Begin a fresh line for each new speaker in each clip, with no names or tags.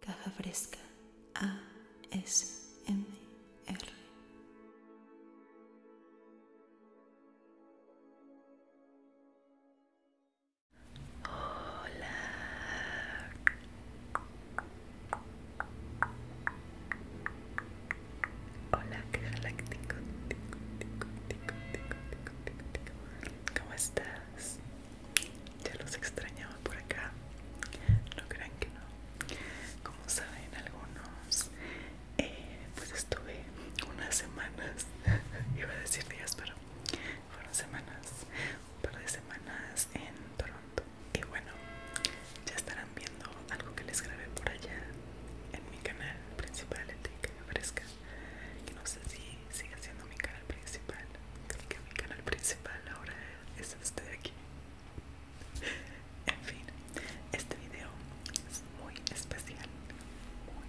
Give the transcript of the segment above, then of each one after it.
Caja Fresca R. Hola. Hola, galáctico. ¿Cómo estás? ya los extrañaba por acá no crean que no como saben algunos eh, pues estuve unas semanas iba a decir días pero fueron semanas un par de semanas en Toronto y bueno ya estarán viendo algo que les grabé por allá en mi canal principal que me Fresca no sé si sigue siendo mi canal principal creo que mi canal principal ahora es este de aquí en fin este video es muy especial muy,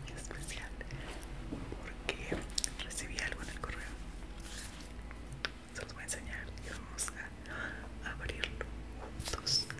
muy especial porque recibí algo en el correo se los voy a enseñar y vamos a abrirlo juntos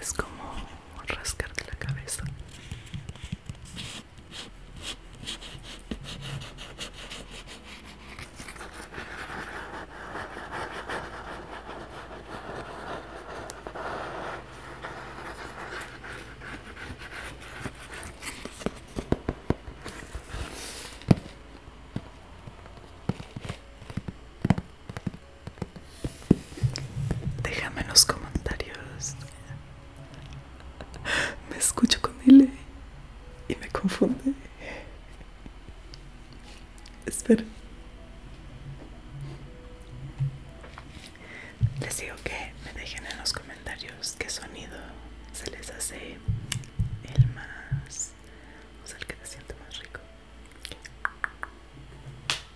Es como rascarte la cabeza. Déjame en los comentarios Me escucho con ley y me confunde. Espera. Les digo que me dejen en los comentarios qué sonido se les hace el más, o sea, el que se siente más rico.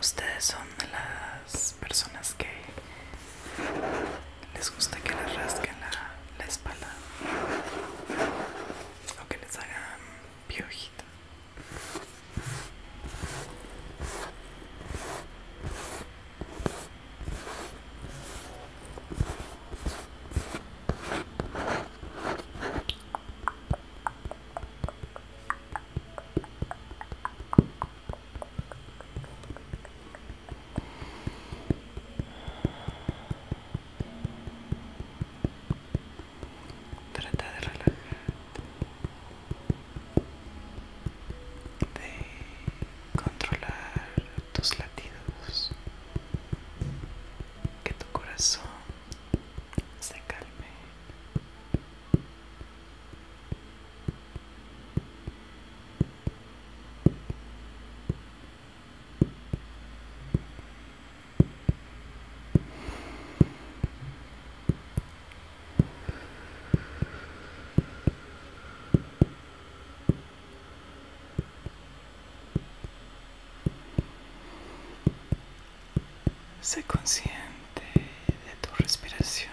Ustedes son las personas que les gusta que les rasquen la, espalda o que les hagan piojita. Trata de relajarte de controlar tus latidos, que tu corazón se calme. Sé consciente de tu respiración.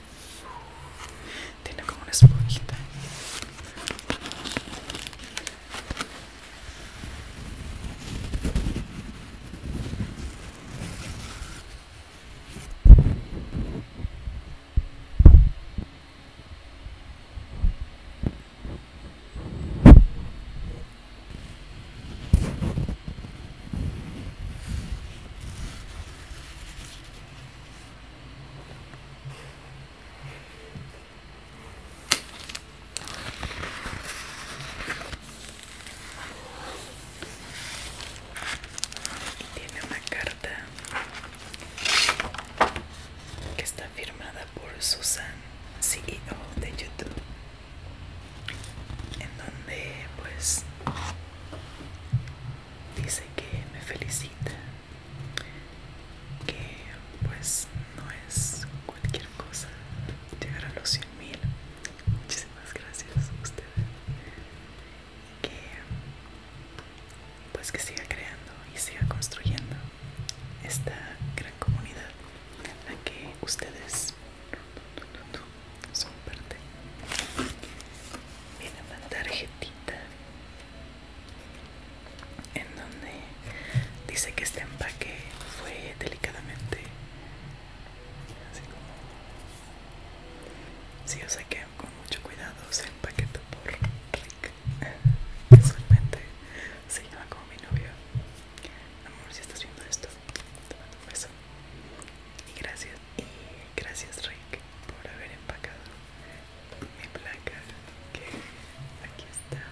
Tiene como una esponjita tiene una carta que está firmada por Susan, CEO de YouTube, en donde pues dice que me felicita que pues no es cualquier cosa llegar a los 100.000, muchísimas gracias a ustedes que pues que siga creando y siga construyendo esta gran comunidad la que ustedes son parte viene una tarjetita en donde dice que este empaque fue delicadamente así como sí, o sea que con mucho cuidado se empaquetó por Rick casualmente se llama como mi novio amor si estás viendo esto te mando un beso y gracias, y gracias Rick por haber empacado mi placa que aquí está.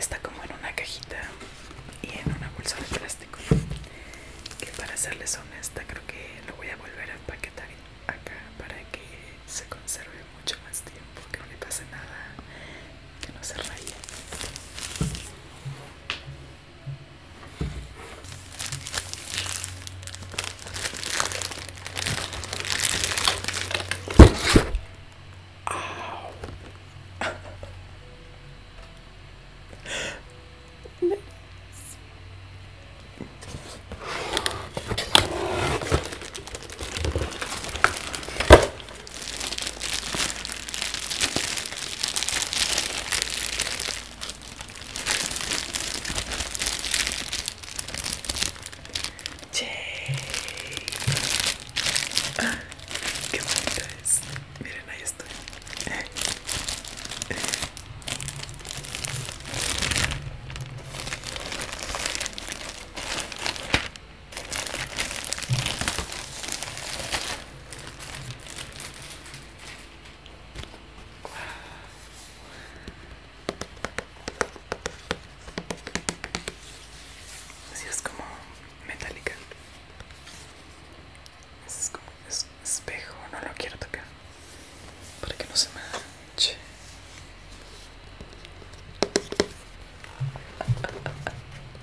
Está como en una cajita y en una bolsa de plástico que para serles honesta creo que lo voy a volver a empaquetar acá para que se conserve mucho más tiempo que no le pase nada que no se raye Che. Ah, qué bonito es. Miren, ahí estoy. Así es como metálica es como un espejo, no lo quiero tocar para que no se manche.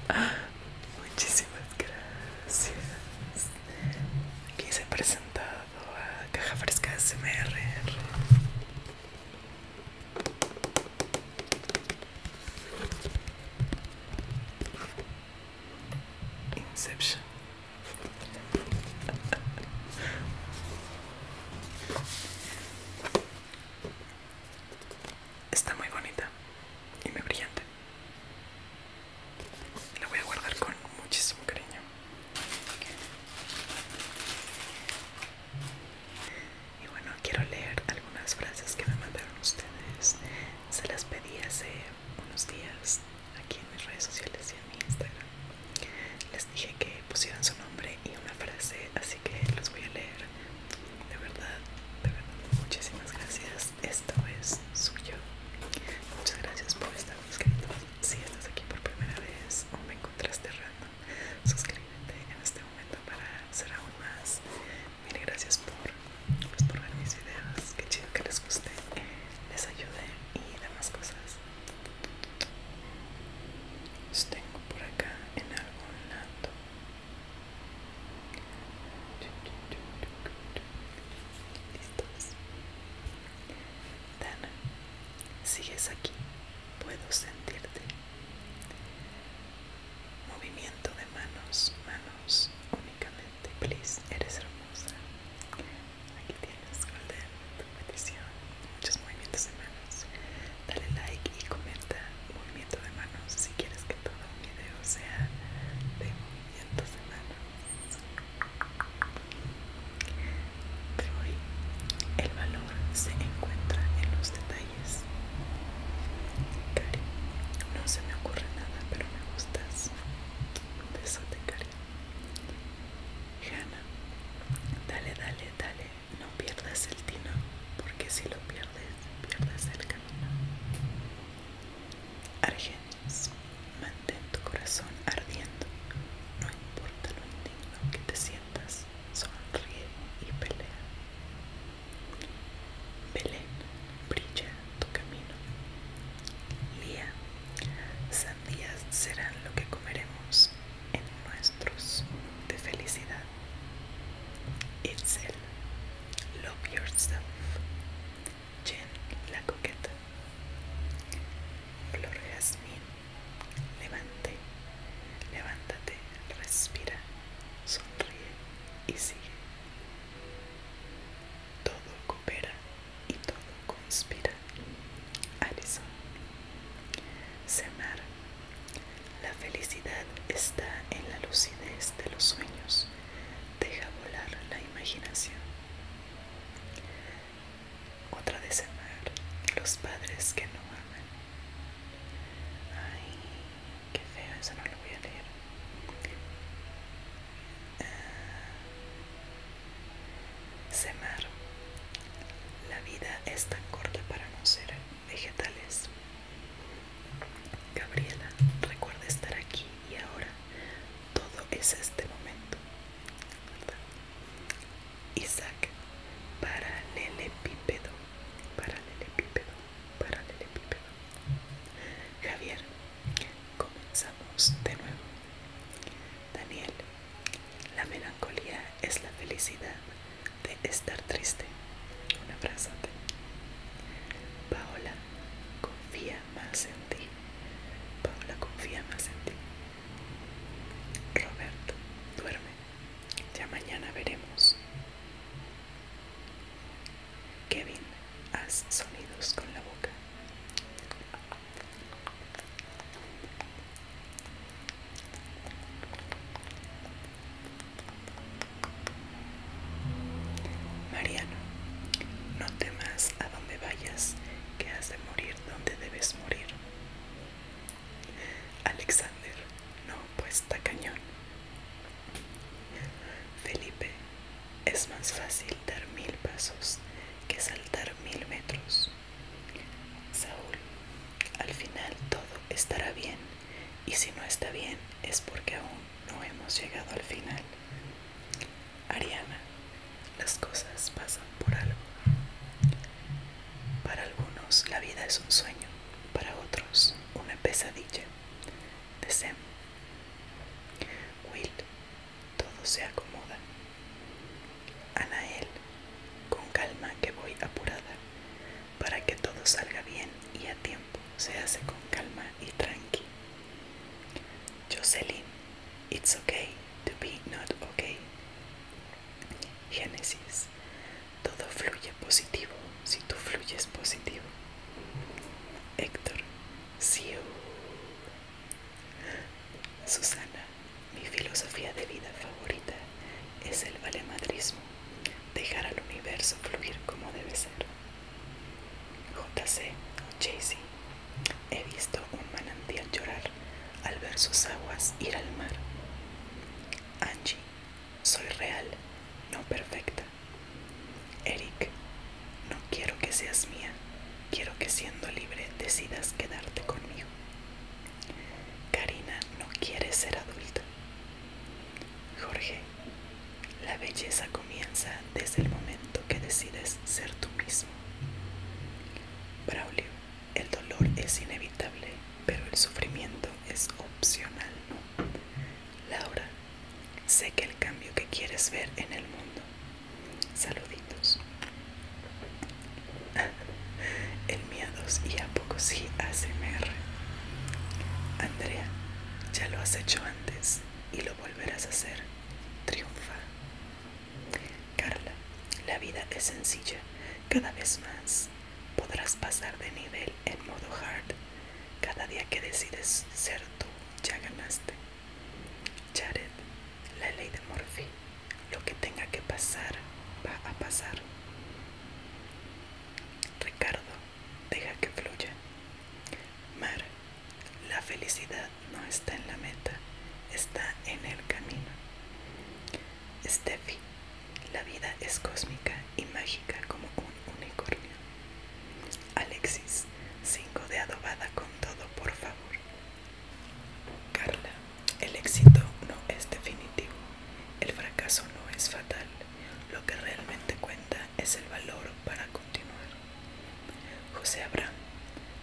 Muchísimas gracias. Aquí se ha presentado a Caja Fresca SMR. Inception. Está muy bonita y muy brillante. La voy a guardar con muchísimo cariño. Y bueno, quiero leer algunas frases que me mandaron ustedes. Se las pedí hace unos días aquí en mis redes sociales y en mi Instagram les dije que pusieran su nombre y una frase así que los voy a leer de verdad de verdad muchísimas gracias esto es suyo muchas gracias por estar suscrito si estás aquí por primera vez o me encontraste random suscríbete en este momento para ser aún más Mil gracias por, pues, por ver mis videos. Qué chido que les guste, les ayude y demás cosas. Los tengo por acá en algún lado. Listos. Dana, sigues aquí. Puedo sentirte. Movimiento de manos, manos únicamente. Adelante, plis Eres hermosa. Aquí tienes, Golden, tu petición. Muchos movimientos de manos. Dale like y comenta movimiento de manos si quieres que todo el video sea de movimientos de manos. hoy, el valor se encuentra en los detalles. Cari, no se me ocurre nada, pero me gustas. Un cariño. dale, dale, dale. No pierdas el tino, porque si lo pierdes, pierdes el camino. Argenis, mantén tu corazón ardiendo. No importa lo indigno que te sientas, sonríe y pelea. Belén, brilla tu camino. Lía, sandías serán lo que comeremos en nuestros de felicidad. Itzel, love yourself. Jen, la coqueta. Flor Jasmine levante, levántate, respira, sonríe y sigue. Todo coopera y todo conspira. Alison. Semar. La felicidad está en la lucidez de los sueños. Deja volar la imaginación. Otra de Semar. Los padres que no aman. Ay, Qué feo, eso no lo voy a leer. Ah, Semar. La vida es tan corta para no ser vegetales. Gabriela, recuerda estar aquí y ahora. Todo es este momento. para epípedo Para paralelepípedo. Paralelepípedo paralelepípedo. Javier, comenzamos de nuevo. Daniel, la melancolía es la felicidad de estar triste. Una frase. Paola, confía más en ti. Paola, confía más en ti. Roberto, duerme. Ya mañana veremos. Kevin, haz sonidos con la boca. Mariano, no temas a donde vayas, que has de morir donde debes morir. Alexander, no, pues cañón. Felipe, es más fácil dar mil pasos que saltar mil metros. Saúl, al final todo estará bien y si no está bien es porque aún no hemos llegado al final. Ariana, las cosas pasan por algo. Para algunos la vida es un sueño, para otros una pesadilla de Will, todo se acomoda. Anael, con calma que voy apurada, para que todo salga bien y a tiempo, se hace con calma y tranqui. Jocelyn, it's okay to be not okay. Génesis, todo fluye positivo si tú fluyes positivo. Héctor, sí. Susana, mi filosofía de vida favorita es el valemadrismo, dejar al universo fluir como debe ser. JC, JC, he visto un manantial llorar al ver sus aguas ir al mar. Angie, soy real, no perfecta. Eric, no quiero que seas mía, quiero que siendo libre decidas quedarte conmigo. Karina no quieres ser adulta. Jorge, la belleza comienza desde el momento que decides ser tú mismo. Braulio, el dolor es inevitable, pero el sufrimiento es opcional. Laura, sé que el cambio que quieres ver en el mundo. Saluditos. El miedo y a poco sí ASMR. Andrea, ya lo has hecho antes y lo volverás a hacer. Triunfa. Carla, la vida es sencilla. Cada vez más podrás pasar de nivel en modo hard cada día que decides ser tú, ya ganaste. Jared, la ley de morphy Lo que tenga que pasar, va a pasar. Ricardo, deja que fluya. Mar, la felicidad no está en la meta, está en el camino. Steffi, la vida es cósmica y mágica como un unicornio. Alexis, 5 de adobada con todo, por favor. Carla, el éxito no es definitivo. El fracaso no es fatal. Lo que realmente cuenta es el valor para continuar. José Abraham,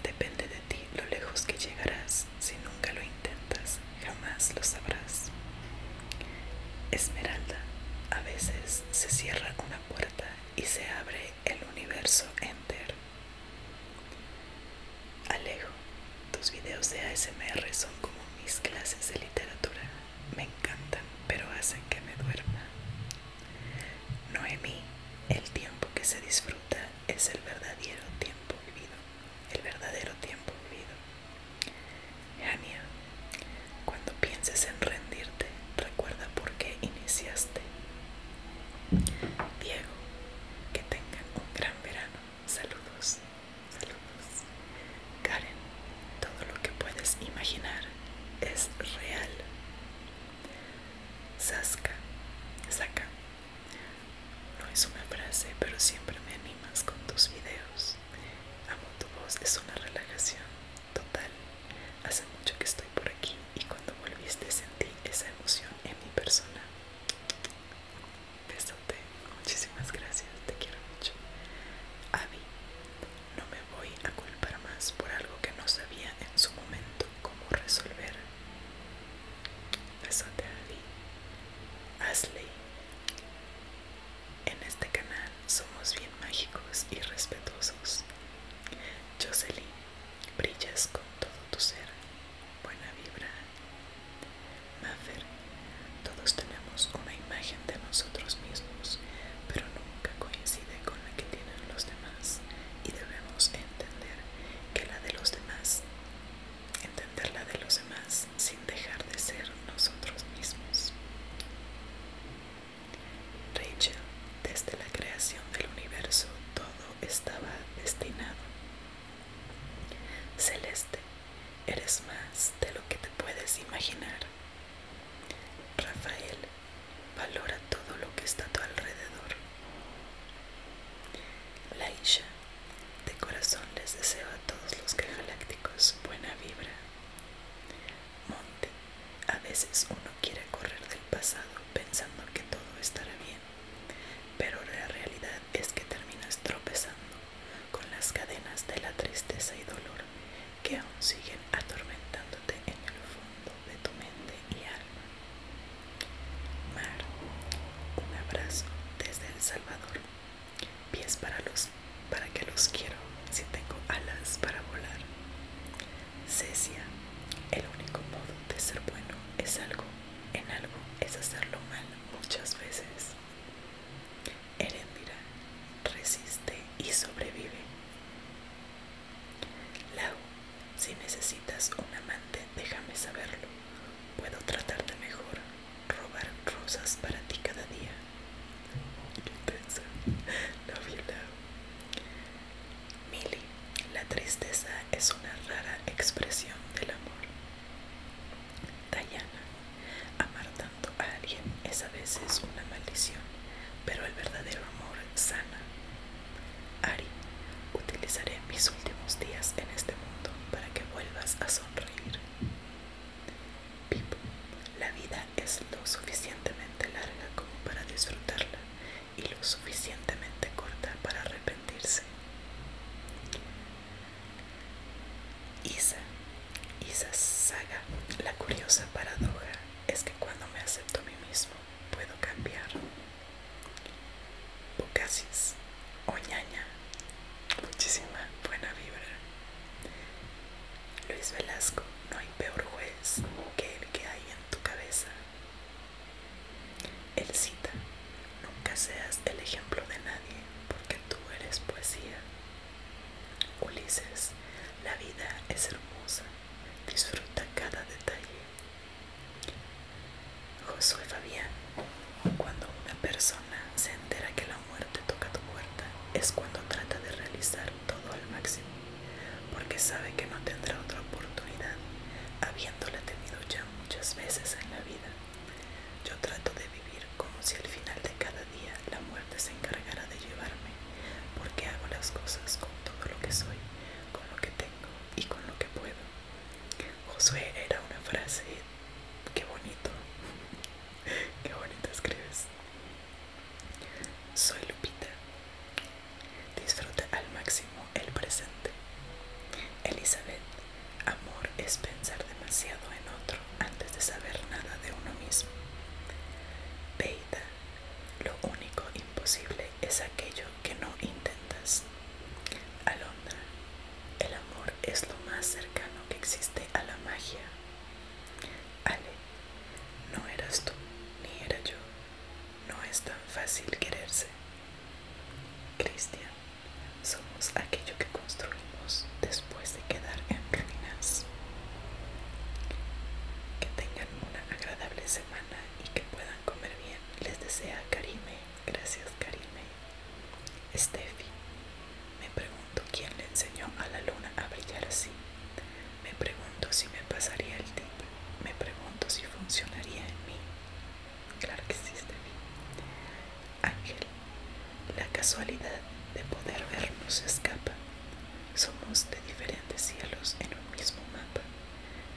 depende de ti lo lejos que llegarás si nunca lo intentas jamás, lo sabrás. Esmeralda, a veces se cierra una puerta y se abre el universo entero. Alejo, tus videos de ASMR son como mis clases de literatura. Me encantan, pero hacen que me duerma. Noemí, el tiempo que se disfruta es el verdadero tiempo vivido. El verdadero tiempo vivido Ania, cuando pienses en rendirte, recuerda por qué iniciaste. Diego, que tengan un gran verano. Saludos, saludos. Karen, todo lo que puedes imaginar es real. Sasca, saca. No es una frase, pero siempre me animas con tus videos. Amo tu voz, es una relajación total. Hace mucho que estoy por aquí y cuando volviste sentí esa emoción en mi persona. Besote, muchísimas gracias, te quiero mucho. Abi, no me voy a culpar más por algo que no sabía en su momento cómo resolver. Besote, Abby. Ashley, en este canal somos bien mágicos y respetuosos. Jocelyn, brillas con todo tu ser, buena vibra. Maffer, todos tenemos una imagen de nosotros mismos, pero nunca coincide con la que tienen los demás y debemos entender que la de los demás,
entender la de los
demás sin dejar de ser nosotros mismos. Rachel, desde la creación del universo, todo estaba destinado. Celeste, eres más de lo que te puedes imaginar. Rafael, valora todo lo que está a tu alrededor. Laisha, de corazón les deseo a todos los que galácticos buena vibra. Monte, a veces uno quiere correr del pasado pensando que todo estará bien, pero la realidad es que terminas tropezando con las cadenas de la tristeza y dolor que aún siguen atormentándote en el fondo de tu mente y alma. Mar, un abrazo desde El Salvador pies para los para que los quiero si tengo alas para volar. Cecia, el único modo de ser bueno es algo, en algo es hacerlo mal muchas veces. Erendira, resiste y sobrevive. Lau, si necesitas un amante, déjame saberlo. Puedo tratarte mejor robar rosas para ti cada día. Qué intensa. Love you, love. la tristeza es una rara expresión del amor. Diana, amar tanto a alguien es a veces una maldición, pero el verdadero amor sana. Ari, utilizaré mis últimos días en este mundo para que vuelvas a sonreír. Pipo, la vida es lo suficientemente larga como para disfrutarla y lo suficientemente corta para arrepentirse. Isa, Isa Saga, la curiosa paradoja es que cuando me acepto a mí mismo puedo cambiar bocasis oñaña, muchísima buena vibra. Luis Velasco, no hay peor juez que el que hay en tu cabeza. El cita, nunca seas el ejemplo de nadie, porque tú eres poesía. Ulises, la vida es hermosa, disfruta cada detalle. Josué Fabián, cuando una persona se entera que la muerte toca tu puerta, es cuando trata de realizar todo al máximo, porque sabe que no tendrá otra oportunidad, habiéndola tenido ya muchas veces en la vida. Yo trato de vivir como si al final de cada día la muerte se encargara de llevarme, porque hago las cosas con todo lo que soy, con lo que tengo y con lo que puedo. Josué era una frase Qué bonito. Qué bonito escribes. Soy Lupita. Disfruta al máximo el presente. Elizabeth, amor es pensar demasiado en otro antes de saber nada de uno mismo. Peita, lo único imposible es aquello que no intentas. Alondra, el amor es lo más cercano que existe a la magia. Ale, no eras tú, ni era yo. No es tan fácil quererse. Cristian, somos aquello que construimos después de quedar en ruinas. Que tengan una agradable semana y que puedan comer bien. Les desea Karime. Gracias, Karine. Steffi, me pregunto quién le enseñó a la luna a brillar así. Me pregunto si me pasaría el tiempo. Me pregunto si funcionaría en mí. Claro que sí, Steffi. Ángel, la casualidad de poder vernos escapa. Somos de diferentes cielos en un mismo mapa.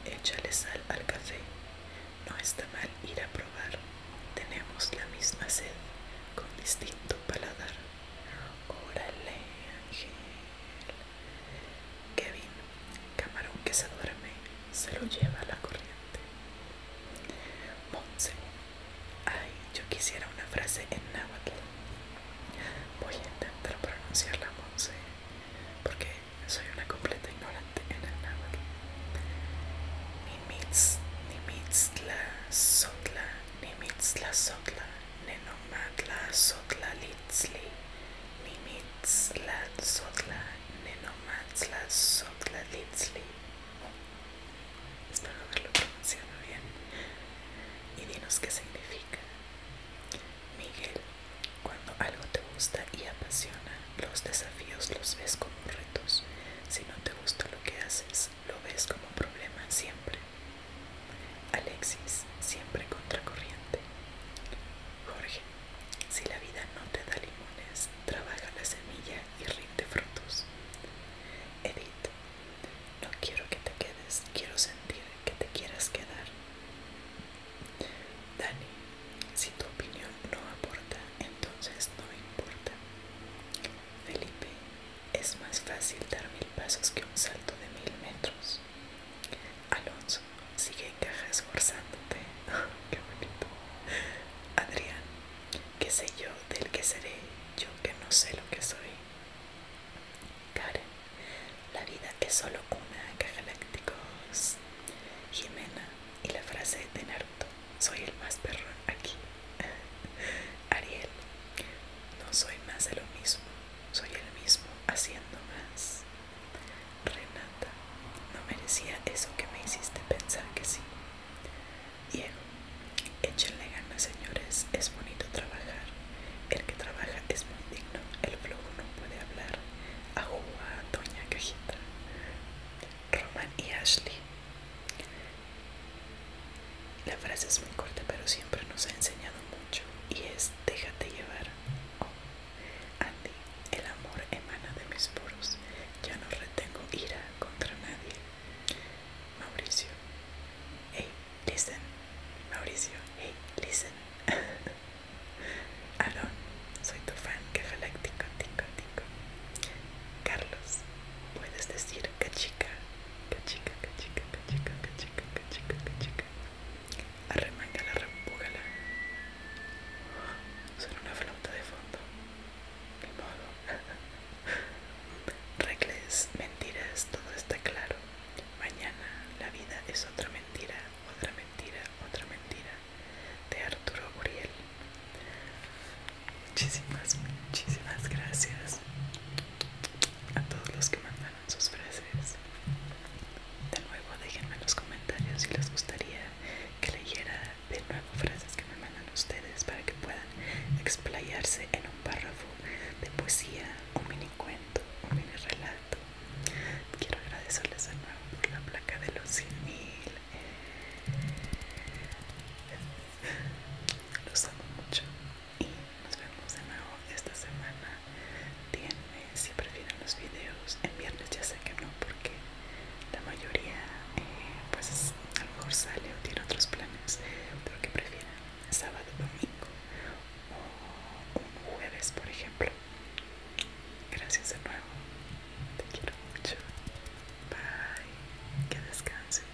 Échale sal al café. No está mal ir a probar tenemos la misma sed con distinto paladar. Órale, Ángel. Kevin, camarón que se duerme, se lo lleva a la corriente. Monse, ay, yo quisiera una frase en náhuatl. Voy a intentar pronunciarla, Monse, porque soy una completa ignorante en el náhuatl. Nimitz, Nimitzla, Sotla, Nimitzla, Sotla, la Sotla, Litzli, Nimitzla, Sotla, Nenomatla, Sotla, Litzli. Espero haberlo pronunciado bien. Y dinos qué significa. Miguel, cuando algo te gusta y apasiona, los desafíos los ves como retos. Si no te gusta lo que haces, lo ves como problema siempre. Alexis, siempre contracorriente. Jorge, si la vida no te da limones, trabaja la semilla y rinde frutos. Edith, no quiero que te quedes, quiero sentir que te quieras quedar. Dani, si tu opinión no aporta, entonces no importa. Felipe, es más fácil dar mil pasos que un salto de mil metros. Alonso, sigue en caja esforzándote. Oh, qué bonito. Adrián, qué sé yo del que seré, yo que no sé lo que soy. Karen, la vida es solo una, galácticos. Jimena, y la frase de Naruto, soy el más perro aquí. Ariel, no soy más de lo mismo, soy el mismo haciendo más. Renata, no merecía eso que me hiciste pensar que sí. Diego, échenle ganas señores, es bonito trabajar. El que trabaja es muy digno, el flojo no puede hablar, a Doña Cajita, Roman y Ashley. La frase es muy corta, pero siempre nos ha enseñado mucho y es déjate llevar. Oh, Andy, el amor emana de mis poros. Ya no retengo ira contra nadie. Mauricio, hey, listen. Mauricio, hey, listen. Aarón, soy tu fan, galáctica, tico, tico. Carlos, puedes decir cachica, cachica, cachica, cachica, cachica, cachica, cachica. Arremángala, repúgala. Suena una flauta de fondo. Ni modo. Regles, mentiras, todo está claro. Mañana la vida es otra mentira, otra mentira, otra mentira, de Arturo Uriel. Muchísimas, muchísimas gracias a todos los que mandaron sus frases. De nuevo, déjenme en los comentarios si les gustaría que leyera de nuevo frases que me mandan ustedes para que puedan explayarse en un párrafo de poesía, un mini cuento, un mini relato Quiero agradecerles de nuevo por la placa de los 100.000. Los amo mucho y nos vemos de nuevo esta semana. Díganme si prefieren los videos en viernes, ya sé que no, porque la mayoría, eh, pues a lo mejor sale o tiene otros planes, pero que prefieran sábado, domingo o un jueves, por ejemplo. Gracias de nuevo. Te quiero mucho. Bye. Que descanses.